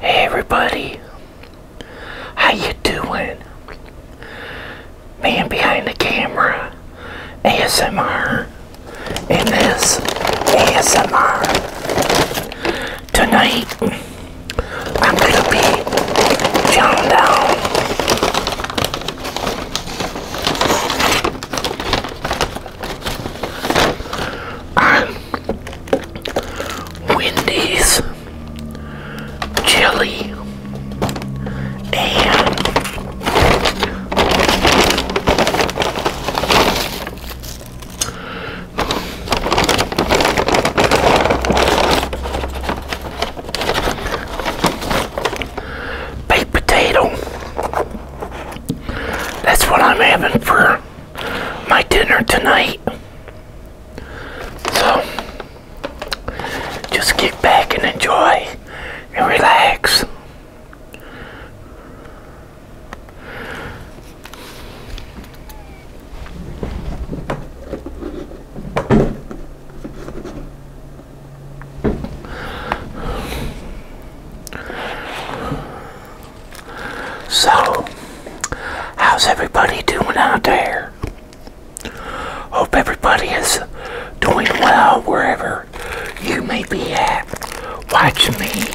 Hey everybody, how you doing? Man behind the camera, ASMR, and this ASMR. Tonight, I'm gonna be chowing down on Wendy's chili and baked potato. That's what I'm having for my dinner tonight. So, just get back and enjoy and relax. So, how's everybody doing out there? Hope everybody is doing well wherever you may be at watching me.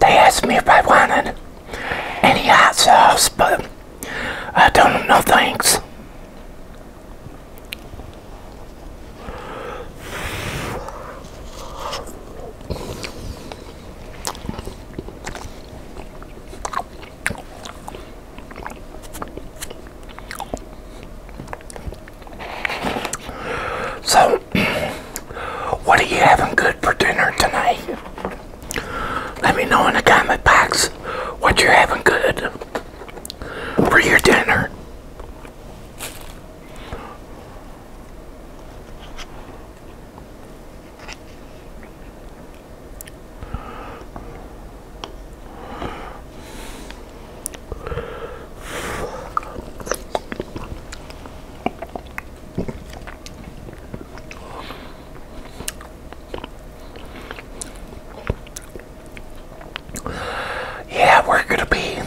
They asked me if I wanted any hot sauce, but I told them no thanks. So, what are you having good for dinner tonight? Let me know in the comment box what you're having good for your dinner. Yeah, we're going to be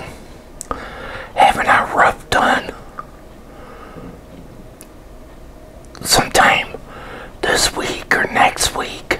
having a rough time sometime this week or next week.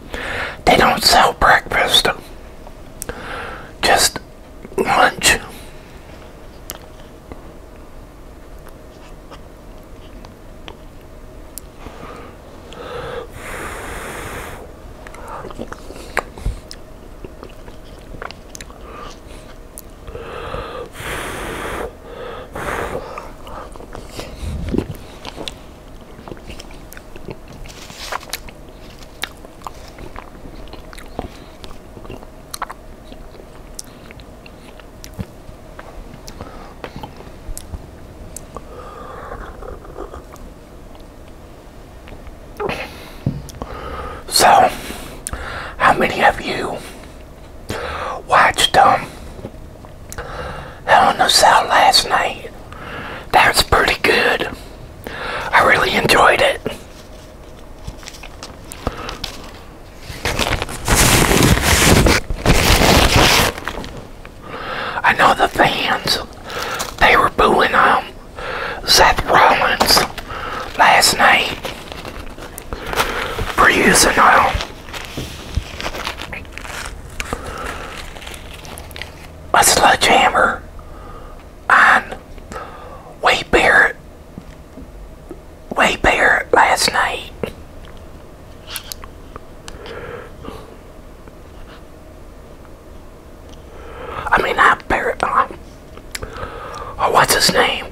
They don't sell breakfast, just lunch. So, how many of you watched them? Um, Hell in the Cell last night. That was pretty good. I really enjoyed it. I know the fans, they were booing um, Seth Rollins last night for um, a sledgehammer on way Barrett way Barrett last night. I mean I not Barrett uh, um, oh what's his name?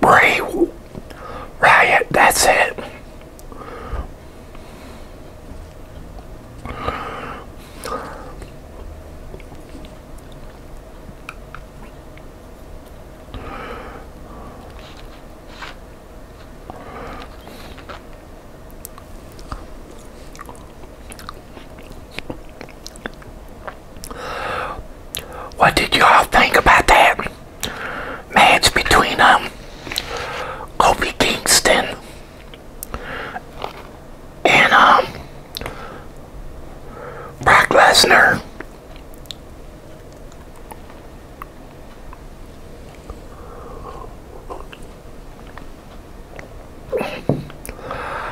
Bray Riot, that's it. What did you all think about that? match between um Kobe Kingston and um Brock Lesnar.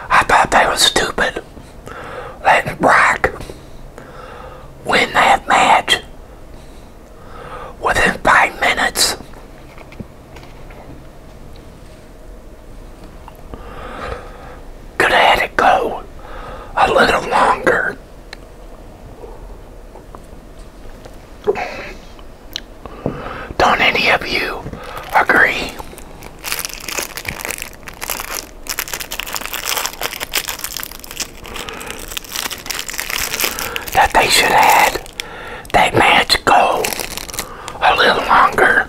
I thought that was stupid Let Brock win that match within five minutes. Could have had it go a little longer. Don't any of you agree? that they should have had that match go a little longer.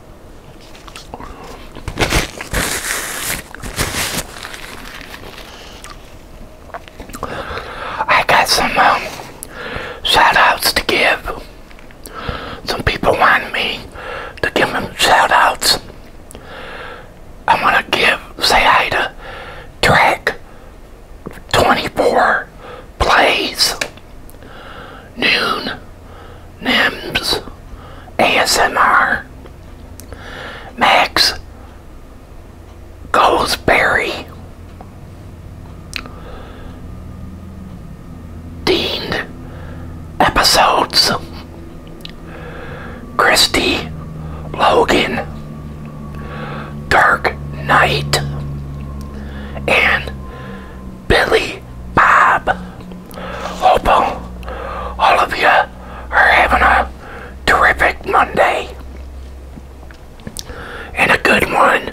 I got some um, shout outs to give. Some people want me to give them shout outs. I want to give, say hi to track 24 plays noon NIMS, ASMR, Max Goldsberry, Deaned Episodes, Christy Logan, Dark Knight, and Billy Bob. Hope all of you are having a terrific Monday and a good one.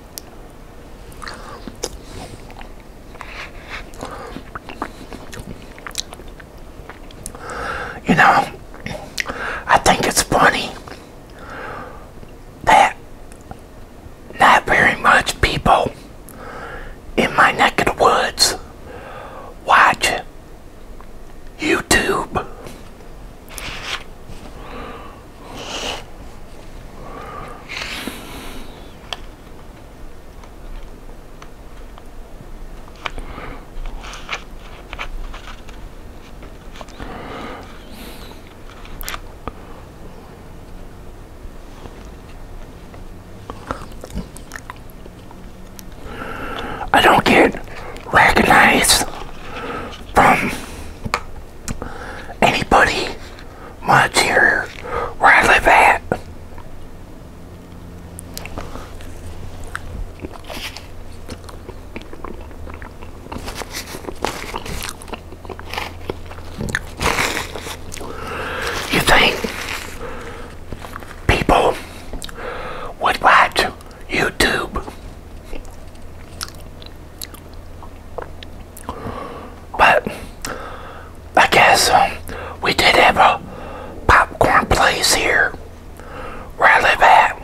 You know, I think it's funny that not very much people in my neck of the woods watch YouTube. I don't get recognized from anybody much here where I live at. You think people would watch YouTube but I guess um, we did have a popcorn place here where I live at.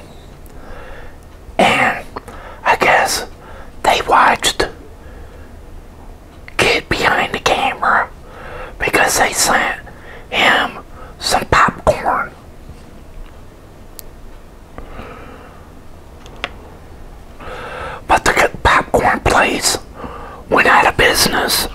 And I guess they watched Kid Behind the Camera because they sent him some popcorn. But the popcorn place went out of business.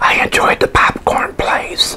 I enjoyed the popcorn place.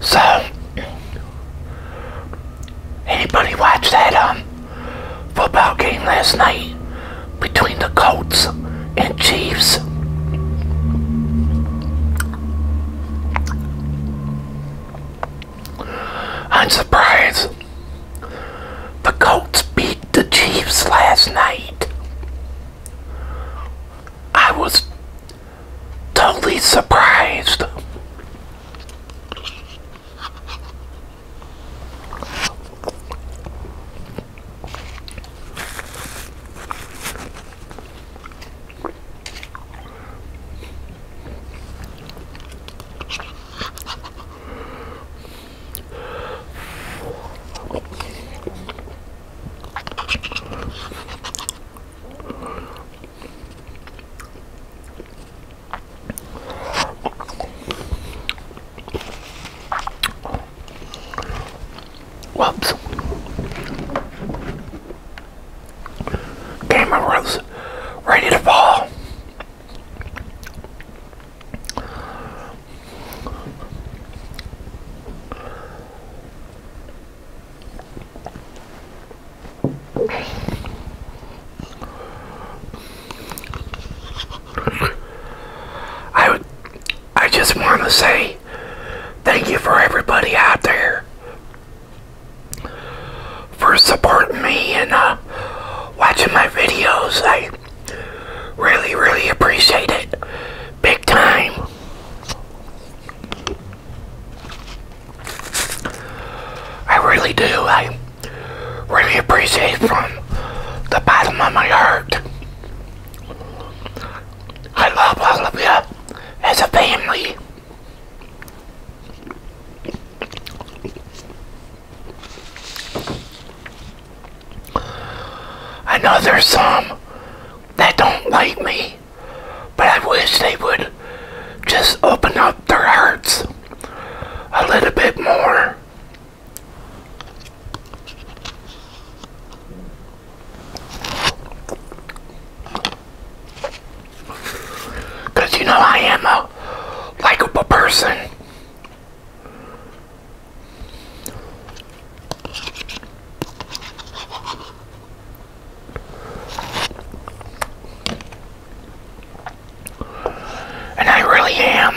So, anybody watch that um football game last night between the Colts and Chiefs? I'm surprised the Colts beat the Chiefs last night. I was totally surprised. Whoops. Camera was ready to fall. I would, I just want to say thank you for everybody out there for supporting me and uh, watching my videos. I really, really appreciate it. Big time. I really do. I really appreciate from the bottom of my heart. I love all of you as a family. I know there's some that don't like me, but I wish they would just open up their hearts a little bit more. Because you know I am a likable person. And I really am.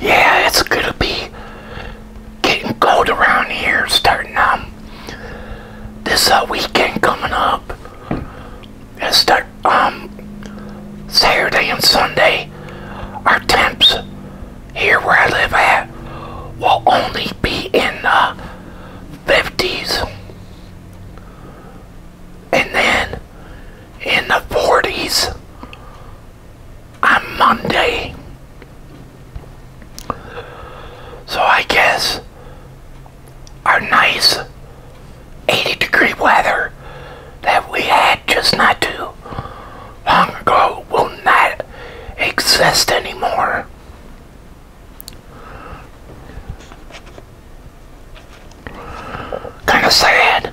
Yeah, it's gonna be getting cold around here starting um this uh, weekend coming up. And will start um Saturday and Sunday. Our temps here where I live at will only be in the 50s and then in the 40s on Monday. So I guess our nice 80 degree weather that we had just not too long ago will not exist anymore. Kind of sad.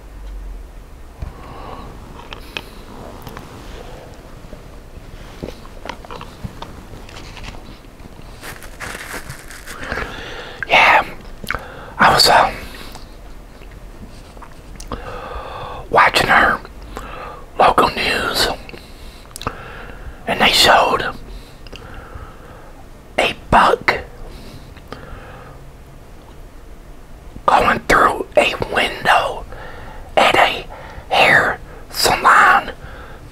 Yeah, I was uh, watching her local news, and they showed a bug going through a window at a hair salon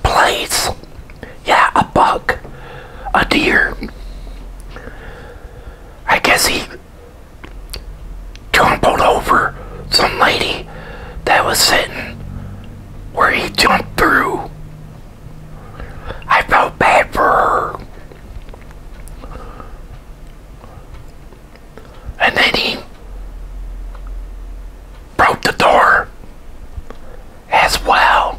place. Yeah, a bug, a deer. I guess he jumped over some lady that was sitting where he jumped through. I felt bad for her. And then he broke the door as well.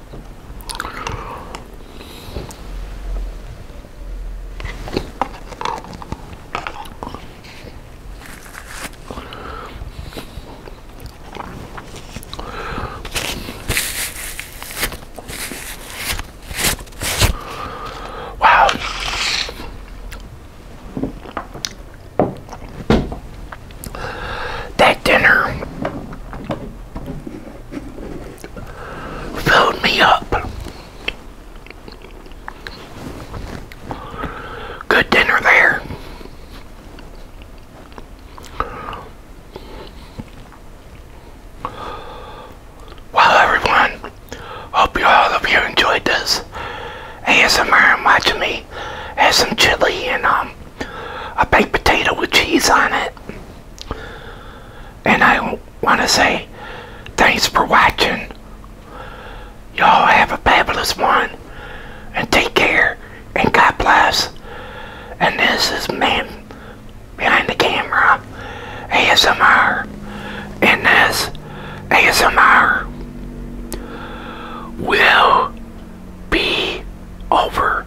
Wow. That dinner filled me up. Good dinner there. Well, everyone, hope you all of you enjoyed this ASMR and watching me have some chili and um, a baked potato with cheese on it. And I want to say thanks for watching. Y'all have a fabulous one. And take care. And God bless. And this is me Behind the Camera ASMR. And this ASMR will be over.